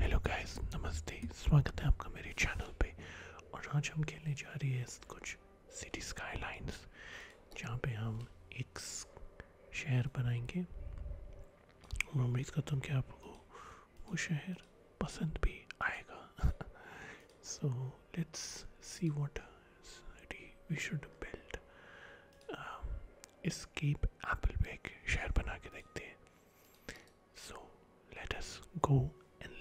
Hello guys नमस्ते स्वागत है आपका मेरे चैनल पे और आज हम खेलने जा रही है कुछ सिटी स्काईलाइंस जहाँ पे हम एक शहर बनाएंगे और उम्मीद करता हूँ कि आपको वो शहर पसंद भी आएगा सो let's see what city we should build skip apple पे एक शहर बना के देखते हैं so let us go and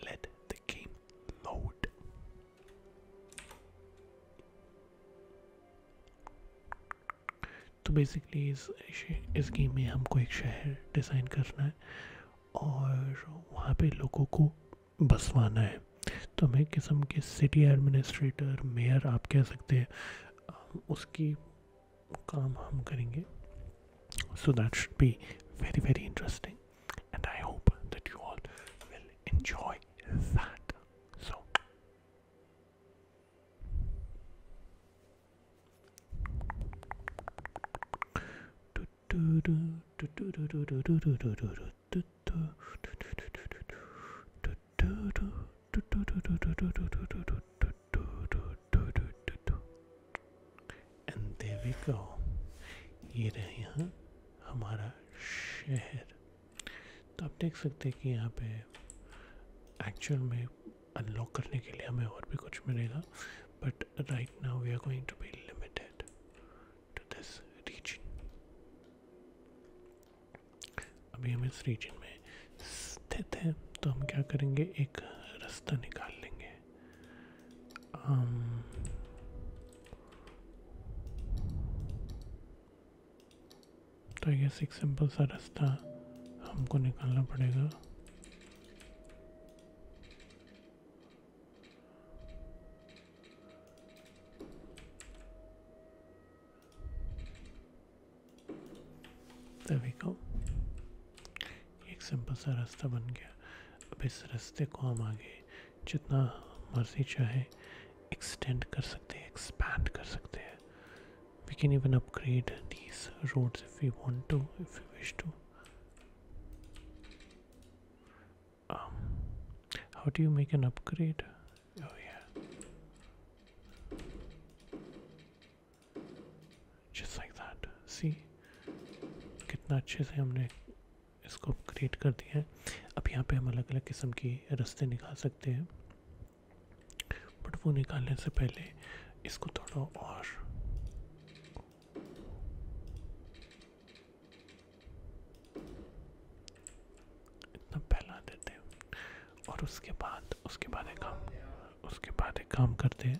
तो बेसिकली इस इस गेम में हमको एक शहर डिज़ाइन करना है और वहाँ पे लोगों को बसवाना है तो हमें किस्म के सिटी एडमिनिस्ट्रेटर मेयर आप कह सकते हैं उसकी काम हम करेंगे so that should be very very interesting and I hope that you all will enjoy that. So, and there we go. ये शहर तो आप देख सकते हैं कि यहाँ पे एक्चुअल में अनलॉक करने के लिए हमें और भी कुछ मिलेगा but right now we are going to be limited to this reason अभी हम इस रीजन में स्थित हैं तो हम क्या करेंगे एक रास्ता निकाल लेंगे Um, तो ये सिक्स सिंपल सा रास्ता हमको निकालना पड़ेगा सिंपल सा रास्ता बन गया अब इस रास्ते को हम आगे जितना मर्जी चाहे एक्सटेंड कर सकते हैं एक्सपैंड कर सकते हैं we can even upgrade these roads if you want to if you wish to how do you make an upgrade oh कितना अच्छे से हमने इसको क्रिएट कर दिया है अब यहाँ पे हम अलग अलग किस्म की रस्ते निकाल सकते हैं बट वो निकालने से पहले इसको थोड़ा और इतना फैला देते हैं और उसके बाद उसके बाद एक काम उसके बाद एक काम करते हैं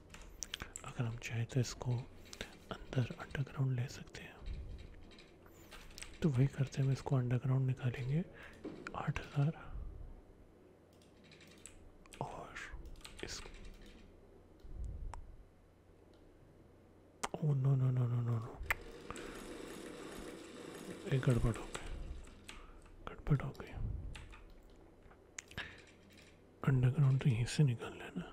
अगर हम चाहें तो इसको अंदर अंडरग्राउंड ले सकते हैं तो वही करते हम इसको अंडरग्राउंड निकालेंगे आठ हज़ार और इस oh no no no no no no एक गड़बड़ हो गई गड़बड़ हो गई अंडरग्राउंड तो यहीं से निकाल लेना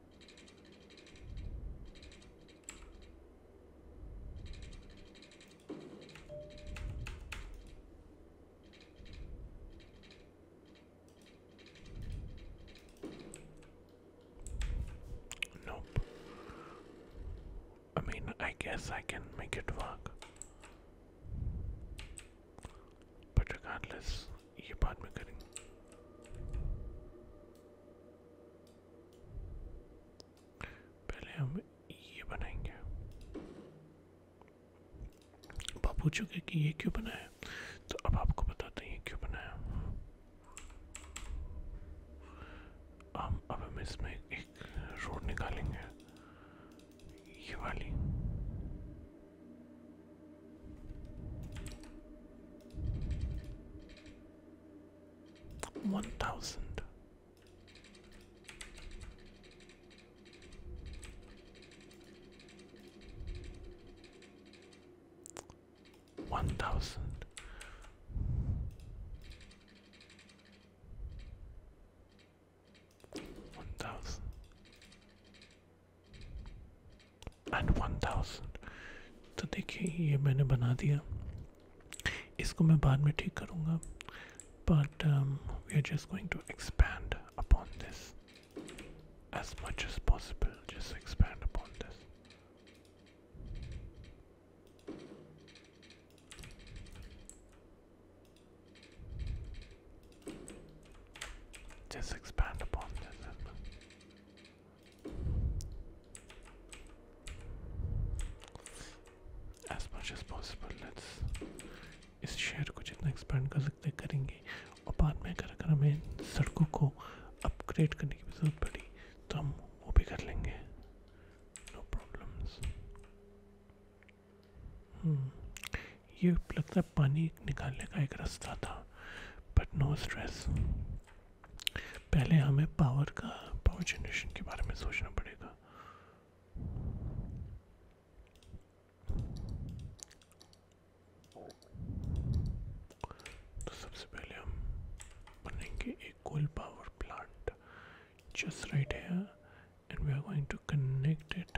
Nope. I mean, I guess I can make it work. But regardless, करेंगे पहले पूछोगे कि ये क्यों बनाया तो अब आपको बताते हैं ये क्यों बनाया हम अब हम इसमें एक रोड निकालेंगे ये वाली One thousand. One thousand. One thousand. And one thousand तो देखिए ये मैंने बना दिया इसको मैं बाद में ठीक करूँगा but we are just going to expand upon this as much as possible just expand upon this Just expand upon this. As much as possible let's इस शहर को जितना एक्सपेंड कर सकते हैं करेंगे और बाद में अगर अगर हमें सड़कों को अपग्रेड करने की ज़रूरत पड़ी तो हम वो भी कर लेंगे नो no प्रॉब्लम्स हम्म, ये लगता है से पानी निकालने का एक रास्ता था बट नो स्ट्रेस पहले हमें पावर का पावर जनरेशन के बारे में सोचना पड़ेगा तो सबसे पहले हम बनेंगे एक coal power plant just right है and we are going to connect it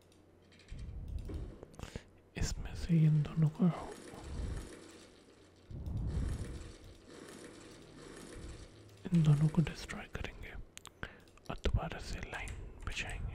इसमें से इन दोनों को इन दोनों को डिस्ट्रॉय करेंगे और दोबारा से लाइन बिछाएंगे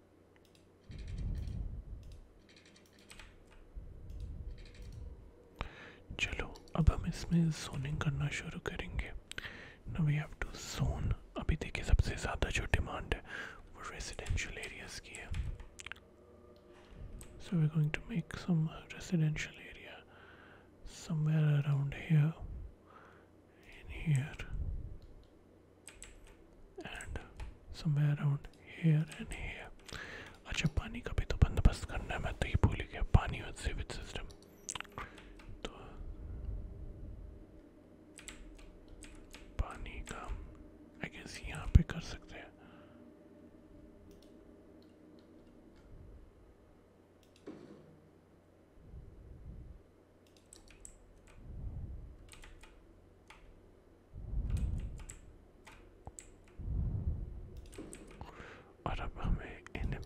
चलो अब हम इसमें सोनिंग करना शुरू करेंगे ना वी हैव टू सोन अभी देखिए सबसे ज़्यादा जो डिमांड है वो रेजिडेंशियल एरियाज़ की है so we're going to make some residential area somewhere around here in here and somewhere around here and here. अच्छा पानी का भी तो बंदोबस्त करना है मैं तो ये भूल गया पानी और सीवेज सिस्टम तो पानी का आई गेस यहाँ पे कर सकते हैं और अब हमें एन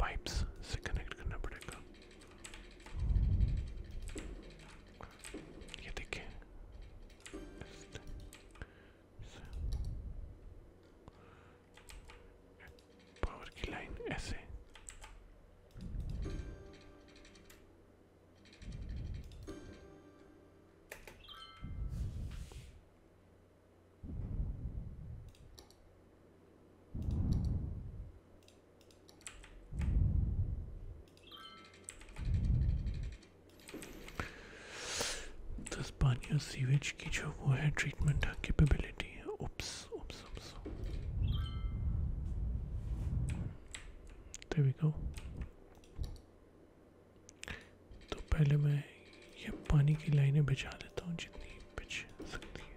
पाइप्स से कनेक्ट करना पड़ेगा ये देखिए पावर की लाइन ऐसे Thus, Pania's sewage kitchen overhead treatment capability. Oops. Oops, oops, oops. There we go. तो पहले मैं ये पानी की लाइनें बिछा देता हूँ जितनी बिछ सकती है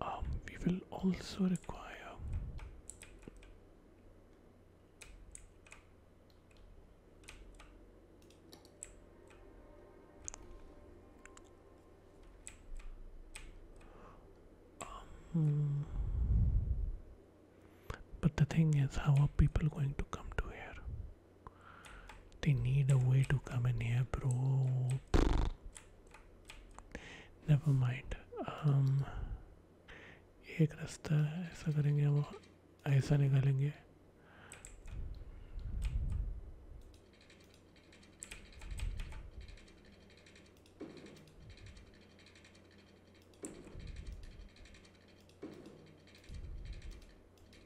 Um, we will also require um, but the thing is, how are people going to come to here? They need a way to come in here, bro. Never mind. Um, एक रास्ता ऐसा करेंगे हम ऐसा निकालेंगे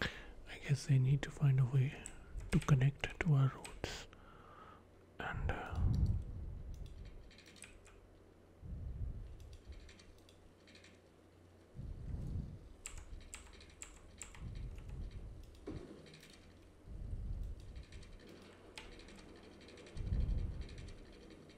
I guess they need to find a way to connect to our roots. and. Uh,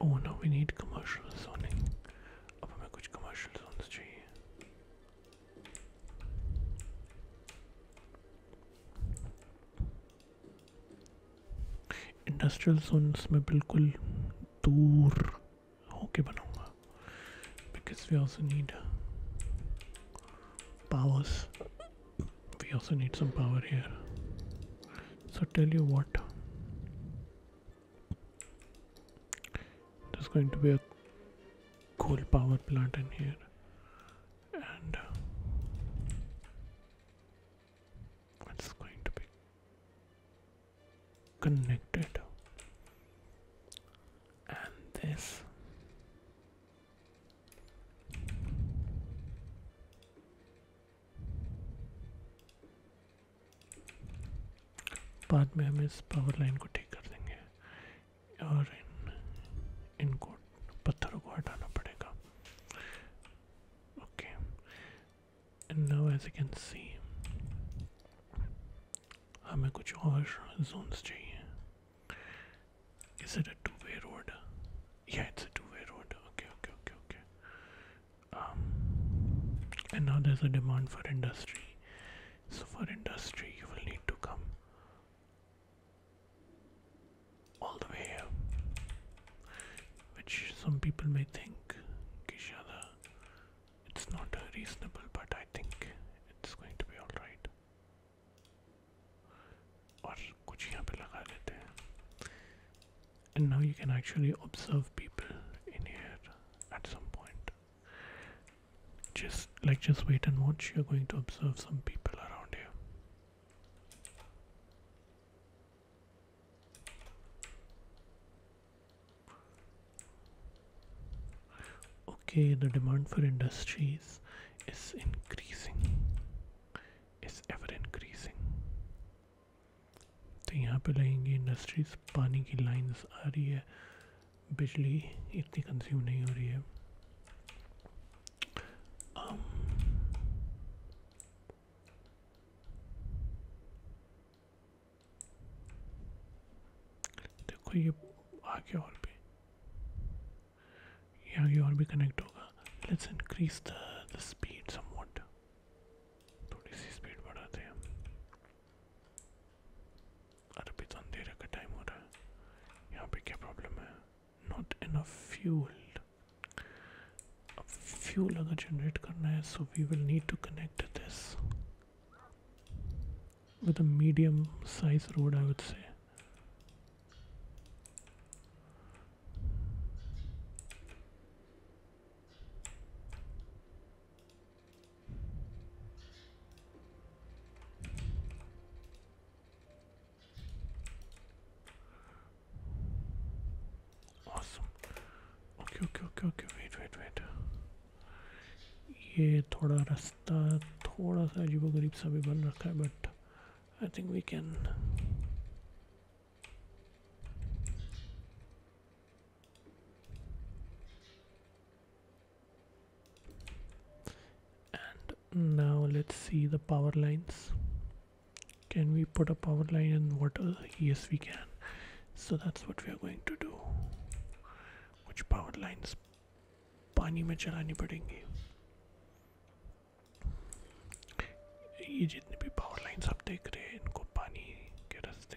Oh no, we need commercial zoning. अब हमें कुछ commercial zones Industrial zones में बिल्कुल दूर होके बनाऊँगा. Because we also need powers. We also need some power here. So tell you what. There's going to be a coal power plant in here, and uh, it's going to be connected. And this बाद में हम इस power line को ठीक कर देंगे और इन इनको पत्थरों को हटाना पड़ेगा okay and now as you can see हमें कुछ और जोन्स चाहिए इज टू वे रोड या it's two way road okay okay okay okay Um, and now there's a demand for industry so for industry you will need to come all the way here which some people may think kishada it's not reasonable but i think it's going to be all right और कुछ यहाँ पे लगा देते हैं and now you can actually observe people in here at some point just like just wait and watch you're going to observe some people around here okay the demand for industries is increasing is ever increasing तो यहाँ पे लगेंगे industries पानी की lines आ रही है बिजली इतनी कंज्यूम नहीं हो रही है um, देखो ये आगे और भी ये आगे और भी कनेक्ट होगा लेट्स इंक्रीज द स्पीड थोड़ी सी स्पीड बढ़ाते हैं अरे तो अंधेरे का टाइम हो रहा है यहाँ पे क्या प्रॉब्लम है नॉट इनफ फ्यूल अब फ्यूल अगर जनरेट करना है so we will need to connect this with a medium size road I would say ये थोड़ा रास्ता थोड़ा सा अजीबो गरीब सा भी बन रखा है but I think we can And now let's see the power lines. Can we put a power line in water? Yes, we can. So that's what we are going to do. Which power lines? पानी में चलानी पड़ेंगी ये जितने भी power lines आप देख रहे हैं इनको पानी के रास्ते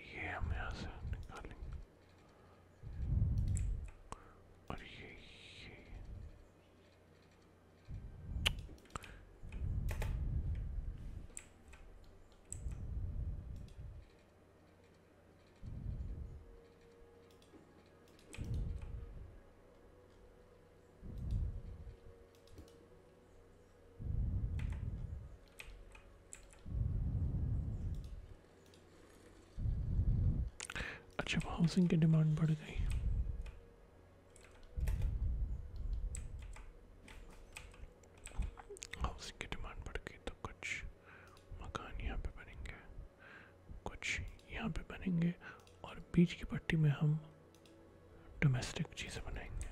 ये हम यहाँ से निकालेंगे और ये ये अच्छा हाउसिंग की डिमांड बढ़ गई हाउसिंग की डिमांड बढ़ गई तो कुछ मकान यहाँ पे बनेंगे कुछ यहाँ पे बनेंगे और बीच की पट्टी में हम डोमेस्टिक चीज़ें बनाएंगे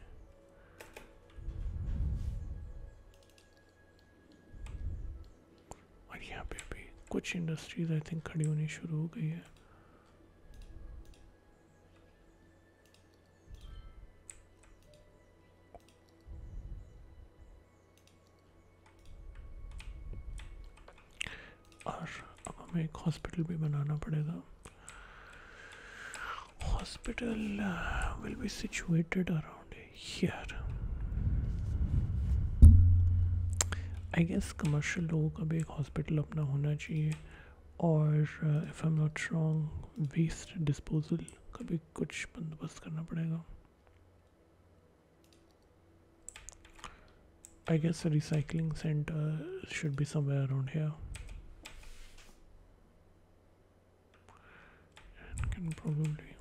और यहाँ पे भी कुछ इंडस्ट्रीज आई थिंक खड़ी होनी शुरू हो गई है और अब हमें एक हॉस्पिटल भी बनाना पड़ेगा hospital will be situated around here I guess commercial लोगों का भी एक हॉस्पिटल अपना होना चाहिए और if I am not wrong waste disposal का भी कुछ बंदोबस्त करना पड़ेगा I guess a recycling center should be somewhere around here. And can probably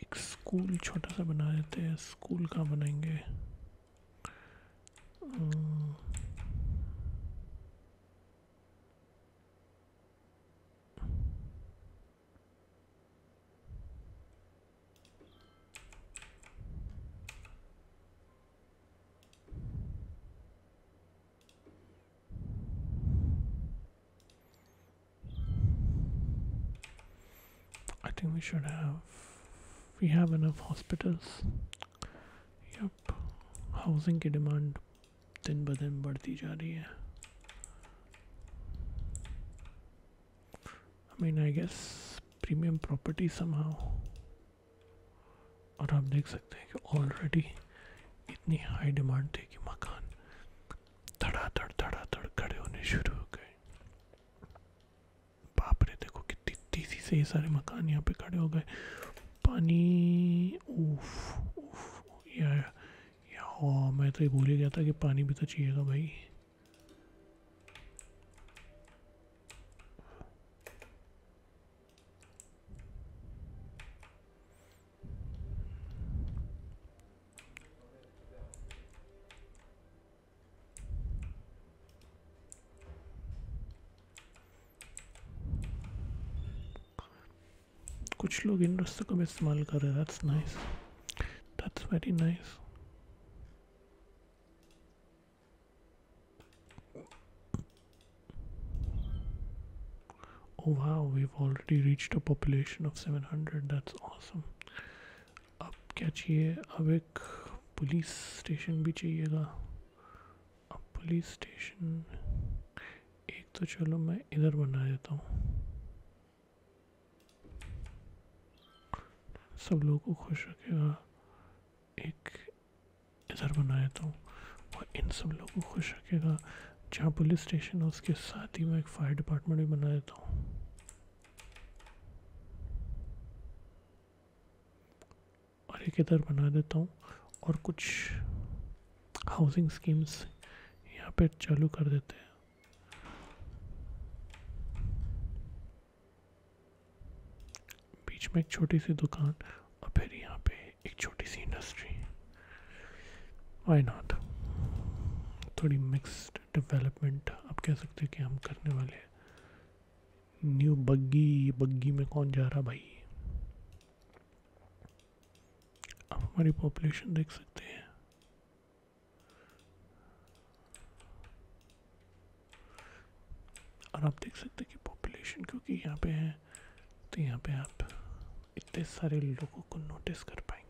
एक स्कूल छोटा सा बना देते हैं स्कूल कहाँ बनाएंगे I think we should have we have enough hospitals. Yep. Housing demand दिन ब दिन बढ़ती जा रही है I mean I guess premium property somehow और आप देख सकते हैं कि ऑलरेडी इतनी हाई डिमांड थी कि मकान धड़ाधड़ धड़ाधड़ खड़े होने शुरू हो गए बाप रे देखो कितनी तेज़ी से ये सारे मकान यहाँ पे खड़े हो गए पानी उफ, उफ, ये आया हाँ मैं तो ये भूल ही गया था कि पानी भी तो चाहिएगा भाई कुछ लोग इन रास्तों का भी इस्तेमाल कर रहे हैं nice that's very nice Oh wow, we've already reached a population of 700. That's awesome. अब क्या चाहिए अब एक पुलिस स्टेशन भी चाहिएगा अब पुलिस स्टेशन एक तो चलो मैं इधर बना देता हूँ सब लोगों को खुश रखेगा एक इधर बनाया तो और इन सब लोगों को खुश रखेगा जहाँ पुलिस स्टेशन है उसके साथ ही मैं एक फायर डिपार्टमेंट भी बना देता हूँ और एक इधर बना देता हूँ और कुछ हाउसिंग स्कीम्स यहाँ पे चालू कर देते हैं बीच में एक छोटी सी दुकान और फिर यहाँ पे एक छोटी सी इंडस्ट्री वाई नॉट थोड़ी मिक्सड डेवलपमेंट आप कह सकते हो कि हम करने वाले हैं न्यू बग्गी बग्गी में कौन जा रहा भाई आप हमारी पॉपुलेशन देख सकते हैं और आप देख सकते हैं कि पॉपुलेशन क्योंकि यहाँ पे है तो यहाँ पे आप इतने सारे लोगों को नोटिस कर पाएंगे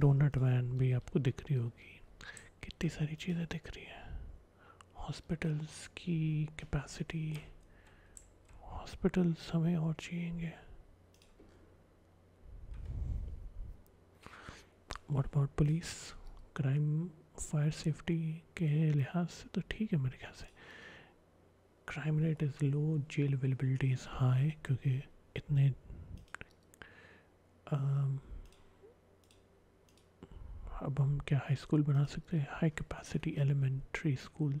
डोनट वैन भी आपको दिख रही होगी कितनी सारी चीज़ें दिख रही है हॉस्पिटल्स की कैपेसिटी हॉस्पिटल हमें और चाहिए what about police crime fire safety के लिहाज से तो ठीक है मेरे ख्याल से crime rate is low jail availability is high क्योंकि इतने um, अब हम क्या हाई स्कूल बना सकते हैं हाई कैपेसिटी एलिमेंट्री स्कूल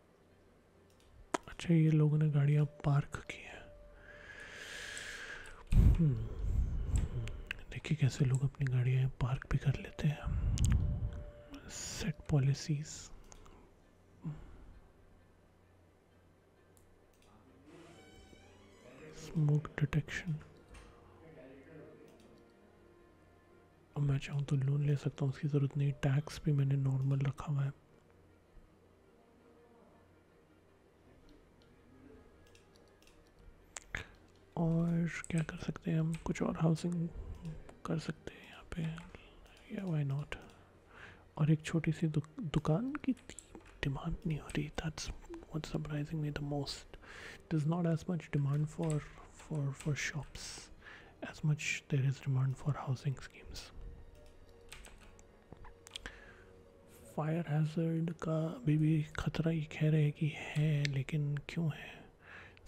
अच्छा ये लोगों ने गाड़ियाँ पार्क की हैं हम्म, देखिए कैसे लोग अपनी गाड़ियाँ पार्क भी कर लेते हैं सेट पॉलिसीज़ स्मोक डिटेक्शन अब मैं चाहूँ तो लोन ले सकता हूँ उसकी ज़रूरत नहीं टैक्स भी मैंने नॉर्मल रखा हुआ है और क्या कर सकते हैं हम कुछ और हाउसिंग कर सकते हैं यहाँ पे या वाई नॉट और एक छोटी सी दुक, दुकान की डिमांड नहीं हो रही that's what surprising me the most there's not as much demand for for for shops as much which there is demand for housing schemes fire hazard का अभी भी ख़तरा ये कह रहे हैं कि है लेकिन क्यों है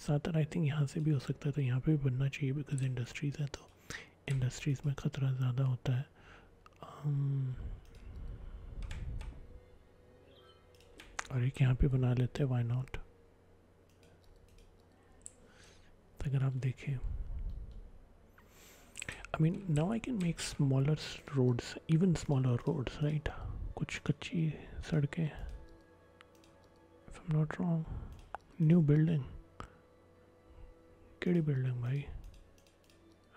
ज़्यादातर आई थिंक यहाँ से भी हो सकता है तो यहाँ पे भी बनना चाहिए बिकॉज इंडस्ट्रीज़ है तो इंडस्ट्रीज़ में ख़तरा ज़्यादा होता है um, और एक यहाँ पे बना लेते हैं वाई अगर आप देखें I mean now I can make smaller roads even smaller roads right कुछ कच्ची सड़कें if am not wrong new building केड़ी बिल्डिंग भाई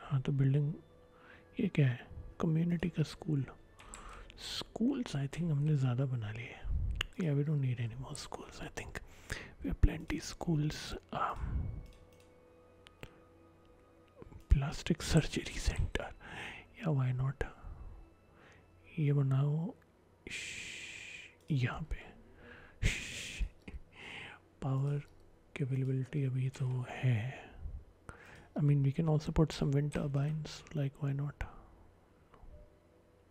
हाँ तो बिल्डिंग ये क्या है कम्युनिटी का स्कूल schools i think हमने ज़्यादा बना लिए yeah we don't need any more schools i think we have plenty schools um, plastic surgery center yeah why not ये बनाओ यहाँ पे पावर की अवेलेबिलिटी अभी तो है I mean we can also put some wind turbines like why not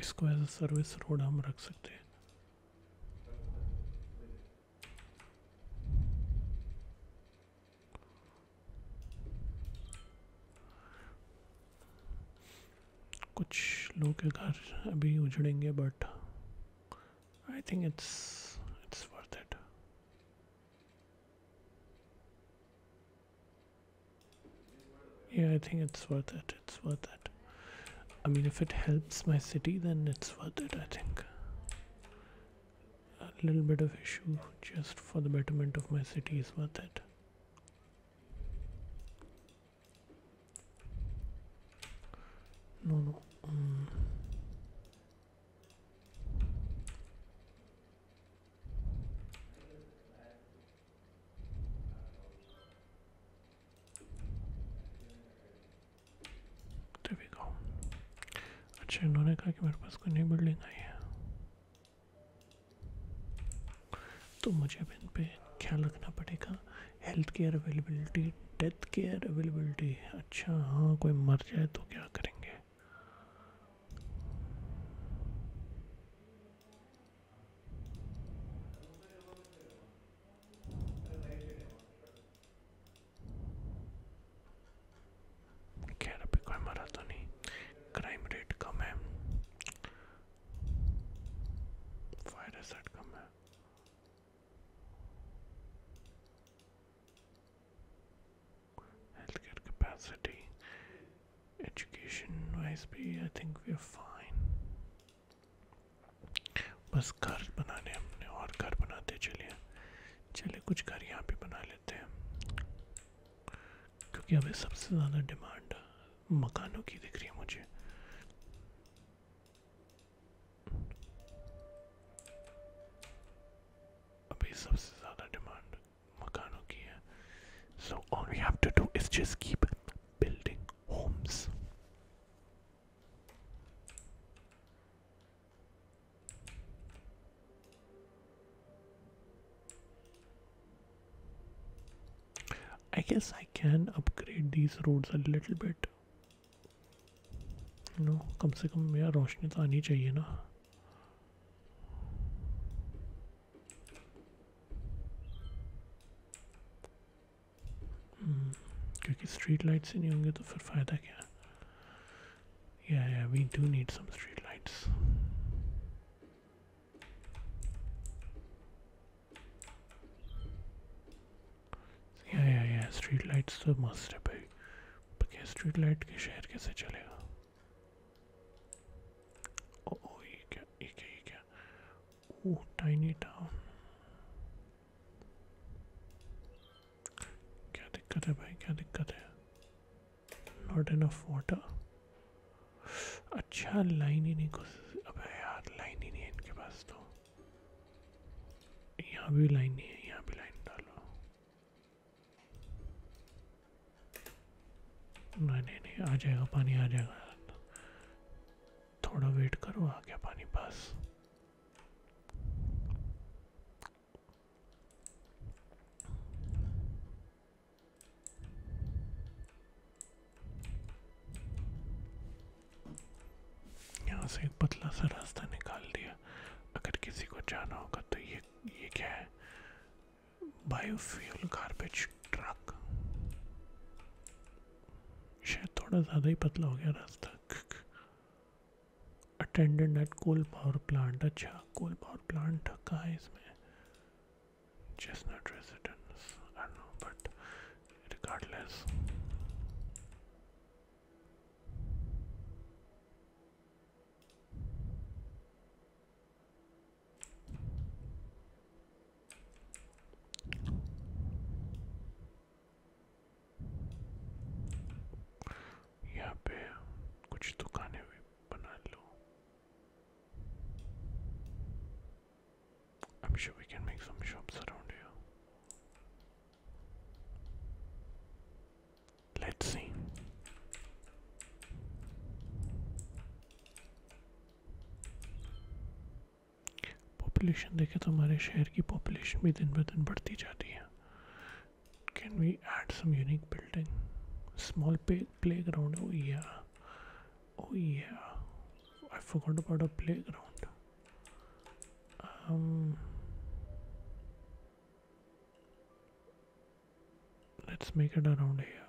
इसको as a service road हम रख सकते हैं कुछ लोग के घर अभी उजड़ेंगे but I think it's it's worth it yeah i think it's worth it it's worth it i mean if it helps my city then it's worth it i think a little bit of issue just for the betterment of my city is worth it no mm. there we go अच्छा इन्होंने कहा कि मेरे पास कोई नई building आई है तो मुझे अब इन पर ख्याल रखना पड़ेगा health care availability death care availability अच्छा हाँ कोई मर जाए तो क्या करेंगे खैर अभी कोई मरा तो नहीं क्राइम रेट कम है फायर एसेट कम है health care capacity education wise भी I think we are fine बस घर बनाने हमने और घर बनाते चलिए चले कुछ घर यहाँ भी बना लेते हैं क्योंकि अभी सबसे ज़्यादा डिमांड मकानों की दिख रही है मुझे अभी सबसे ज़्यादा डिमांड मकानों की है so all we have to do is just keep building homes I guess I can upgrade these roads a little bit. You know, कम से कम मेरा रोशनी तो आनी चाहिए ना Hmm, क्योंकि स्ट्रीट लाइट्स ही नहीं होंगे तो फिर फ़ायदा क्या या या we do need some street lights या या या स्ट्रीट लाइट्स तो मस्ट है भाई स्ट्रीट लाइट के शहर कैसे चलेगा Oh, oh ये क्या ये क्या ये क्या ओ टाइनी टाउन क्या दिक्कत है भाई क्या दिक्कत है नॉट इनफ वाटर अच्छा लाइन ही नहीं घुस अबे यार लाइन ही नहीं है इनके पास तो यहाँ भी लाइन नहीं है यहाँ भी लाइन डालो नहीं नहीं नहीं आ जाएगा पानी आ जाएगा थोड़ा वेट करो आ गया पानी बस यहाँ से एक पतला सा रास्ता निकाल दिया अगर किसी को जाना होगा तो ये ये क्या है बायोफ्यूल गार्बेज ट्रक शायद थोड़ा ज़्यादा ही पतला हो गया रास्ता attendant at coal power plant अच्छा कोल पावर प्लांट कहाँ है इसमें चेस्टनट रेजिडेंस बट रिगार्डलेस यहाँ पे कुछ दुकानें भी बना लो I'm sure we can make some shops around here. Let's see. Population देखें तो हमारे शहर की पॉपुलेशन भी दिन ब दिन बढ़ती जाती है can we add some unique building small playground oh yeah oh yeah I forgot about a playground let's make it around here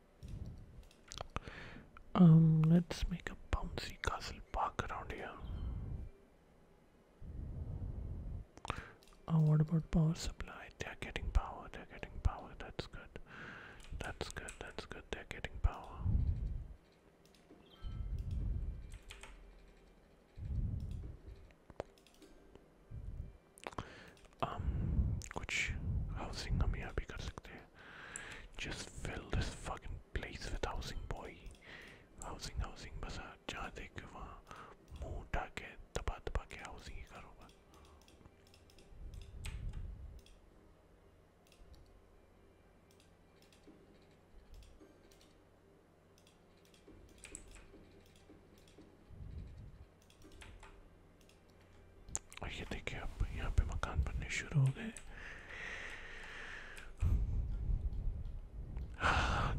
Um, let's make a bouncy castle park around here. Oh, what about power supply? They're getting power, they're getting power, that's good. That's good, that's good, they're getting power um कुछ housing हम यहाँ भी कर just fill this fucking place with housing boy housing housing बस जहाँ देखे वहाँ मुँह उठा के दबा housing और ये देखिए अब यहाँ पे मकान बनने शुरू हो गए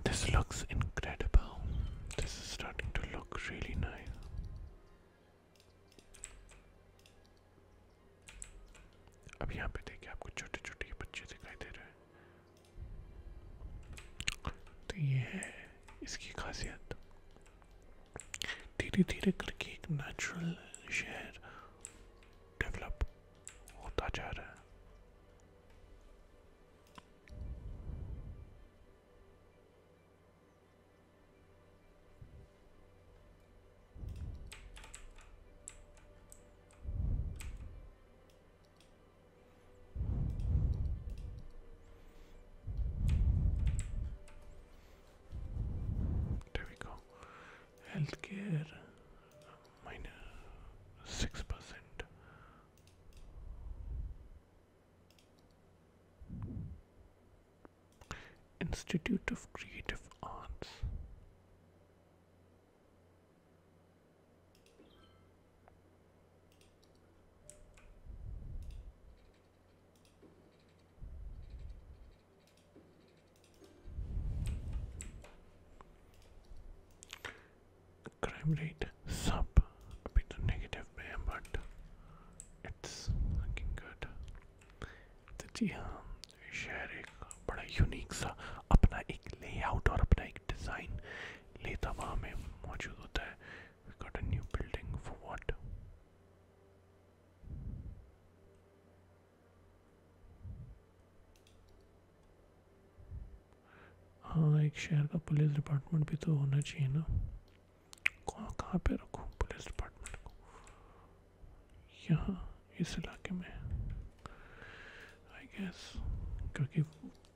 This looks incredible. This is starting to look really nice. अब यहाँ पे देखिए आपको छोटे छोटे बच्चे दिखाई दे रहे हैं तो ये है इसकी खासियत धीरे धीरे करके एक नेचुरल शहर डेवलप होता जा रहा है There we go. Healthcare minus six percent. Institute of Creative Arts. Crime rate sub a bit of negative there, but it's looking good. तो जी हाँ शहर एक बड़ा यूनिक सा अपना एक लेआउट और अपना एक डिज़ाइन लेता वहाँ में मौजूद होता है we got a new building for what हाँ एक शहर का पुलिस डिपार्टमेंट भी तो होना चाहिए ना कौन कहाँ पे रखूँ पुलिस डिपार्टमेंट को यहाँ इस इलाके में आई गेस क्योंकि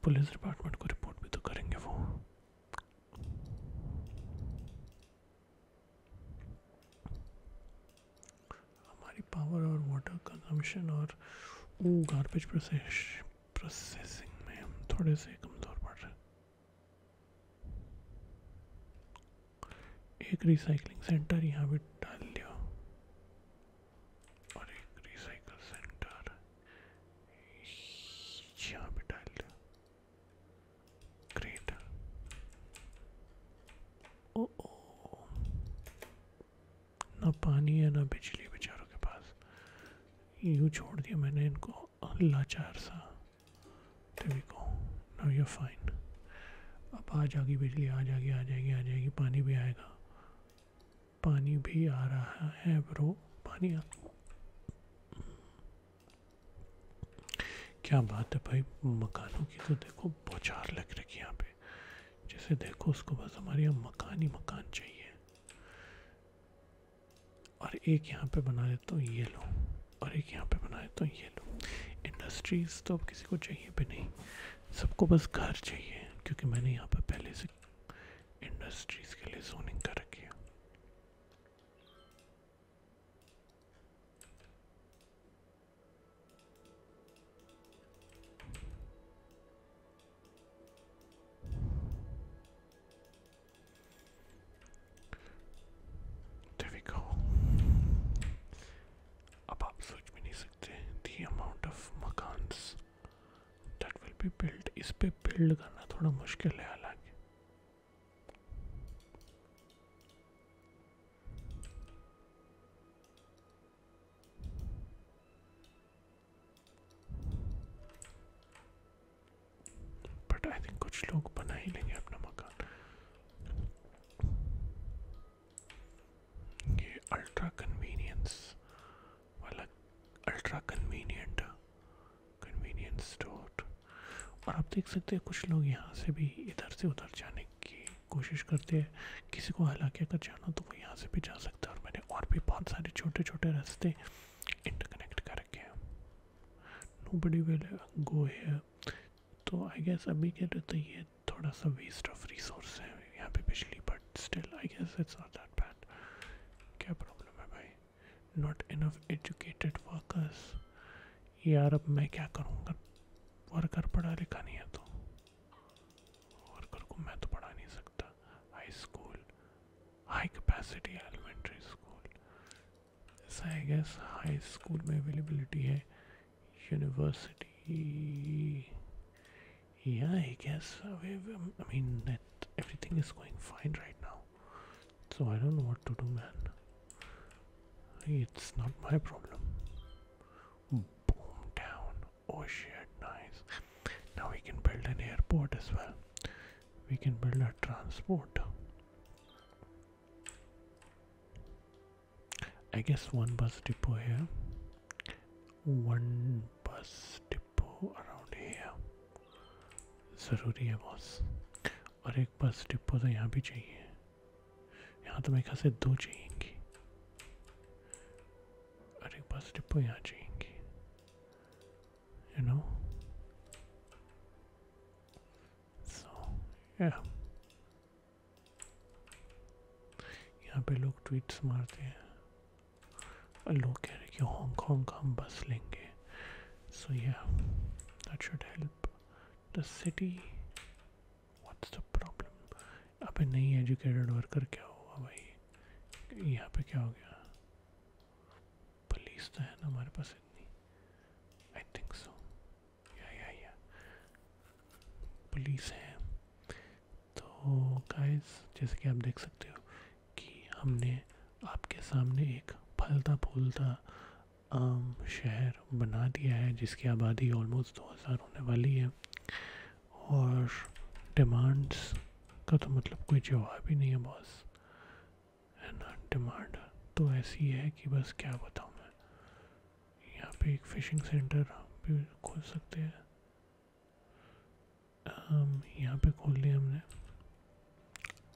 पुलिस डिपार्टमेंट को रिपोर्ट भी तो करेंगे वो हमारी पावर और वाटर कंजम्पशन और गार्बेज प्रोसेस प्रोसेसिंग में हम थोड़े से कमज़ोर पड़ रहे एक रिसाइकलिंग सेंटर यहाँ पे डाल लिया और एक रिसाइकल सेंटर यहाँ पे डाल दिया पानी है ना बिजली बेचारों के पास यूँ छोड़ दिया मैंने इनको लाचार सा देखो नाउ यू फाइन अब आ जाएगी बिजली आ जाएगी आ जाएगी आ जाएगी पानी भी आएगा पानी भी आ रहा है ब्रो पानी आ क्या बात है भाई मकानों की तो देखो बौछार लग रखी है यहाँ पे जैसे देखो उसको बस हमारे यहाँ मकान ही मकान चाहिए और एक यहाँ पे बना देता हूँ ये लो और एक यहाँ पे बना देता हूँ ये लो इंडस्ट्रीज़ तो अब किसी को चाहिए भी नहीं सबको बस घर चाहिए क्योंकि मैंने यहाँ पर पहले से इंडस्ट्रीज़ के लिए जोनिंग कर रखी है There we go. अब आप सोच भी नहीं सकते the amount of makans that will be built इस पे build करना थोड़ा मुश्किल है हालांकि बट आई थिंक कुछ लोग बना ही लेंगे अपना मकान ये अल्ट्रा कन्वीनियंस वाला अल्ट्रा कन्वीनियंट कन्वीनियंस स्टोर तो। और आप देख सकते हैं कुछ लोग यहाँ से भी इधर से उधर जाने की कोशिश करते हैं किसी को हालांकि अगर जाना तो वो यहाँ से भी जा सकता है और मैंने और भी बहुत सारे छोटे छोटे रास्ते इंटरकनेक्ट कर रखे हैं नो बडी विल गो है तो आई गेस अभी के तो ये थोड़ा सा वेस्ट ऑफ रिसोर्स है यहाँ पे बिजली but still I guess it's not that bad क्या प्रॉब्लम है भाई नॉट इनफ एजुकेटेड वर्कर्स यार अब मैं क्या करूँगा वर्कर पढ़ा लिखा नहीं है तो वर्कर को मैं तो पढ़ा नहीं सकता high school high capacity elementary school ऐसा है गैस हाई स्कूल में अवेलेबिलिटी है university yeah i guess i mean everything is going fine right now so I don't know what to do man it's not my problem boom down oh shit nice now we can build an airport as well we can build a transport I guess one bus depot here one bus depot around here Zaruri was और एक bus depot तो यहाँ भी चाहिए यहाँ तो मेरे ख्याल दो चाहिएंगी और एक बस डिपो यहाँ चाहिएंगी यू नो सो यहाँ पे लोग ट्वीट्स मारते हैं और लोग कह रहे हैं कि हांगकॉन्ग का हम बस लेंगे so yeah that should help the city what's the problem अबे नहीं educated worker क्या हुआ भाई यहाँ पे क्या हो गया police तो है ना हमारे पास इतनी I think so yeah yeah yeah police है तो guys जैसे कि आप देख सकते हो कि हमने आपके सामने एक फलता फूलता आम शहर बना दिया है जिसकी आबादी ऑलमोस्ट 2000 होने वाली है और डिमांड्स का तो मतलब कोई जवाब ही नहीं है बॉस है ना डिमांड तो ऐसी है कि बस क्या बताऊँ मैं यहाँ पे एक फ़िशिंग सेंटर भी खोल सकते हैं यहाँ पे खोल लिया हमने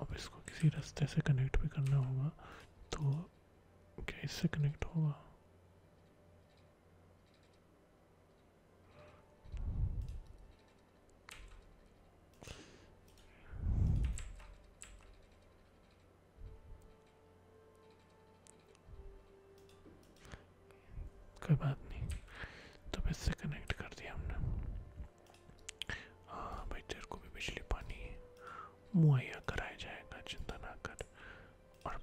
अब इसको किसी रास्ते से कनेक्ट भी करना होगा तो क्या इससे कनेक्ट होगा कोई बात नहीं तो इससे कनेक्ट कर दिया हमने हाँ भाई तेरे को भी बिजली पानी मुहैया कराया जाएगा चिंता ना कर और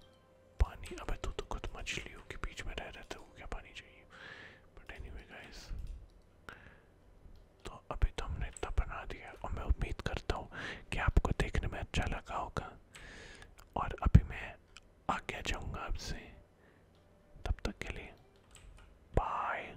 पानी अबे तू तो खुद मछलियों के बीच में रह रहे थे वो क्या पानी चाहिए बट एनी anyway गाइस तो अभी तो हमने इतना बना दिया और मैं उम्मीद करता हूँ कि आपको देखने में अच्छा लगा होगा और अभी मैं आगे जाऊँगा आपसे तब तक के लिए बाय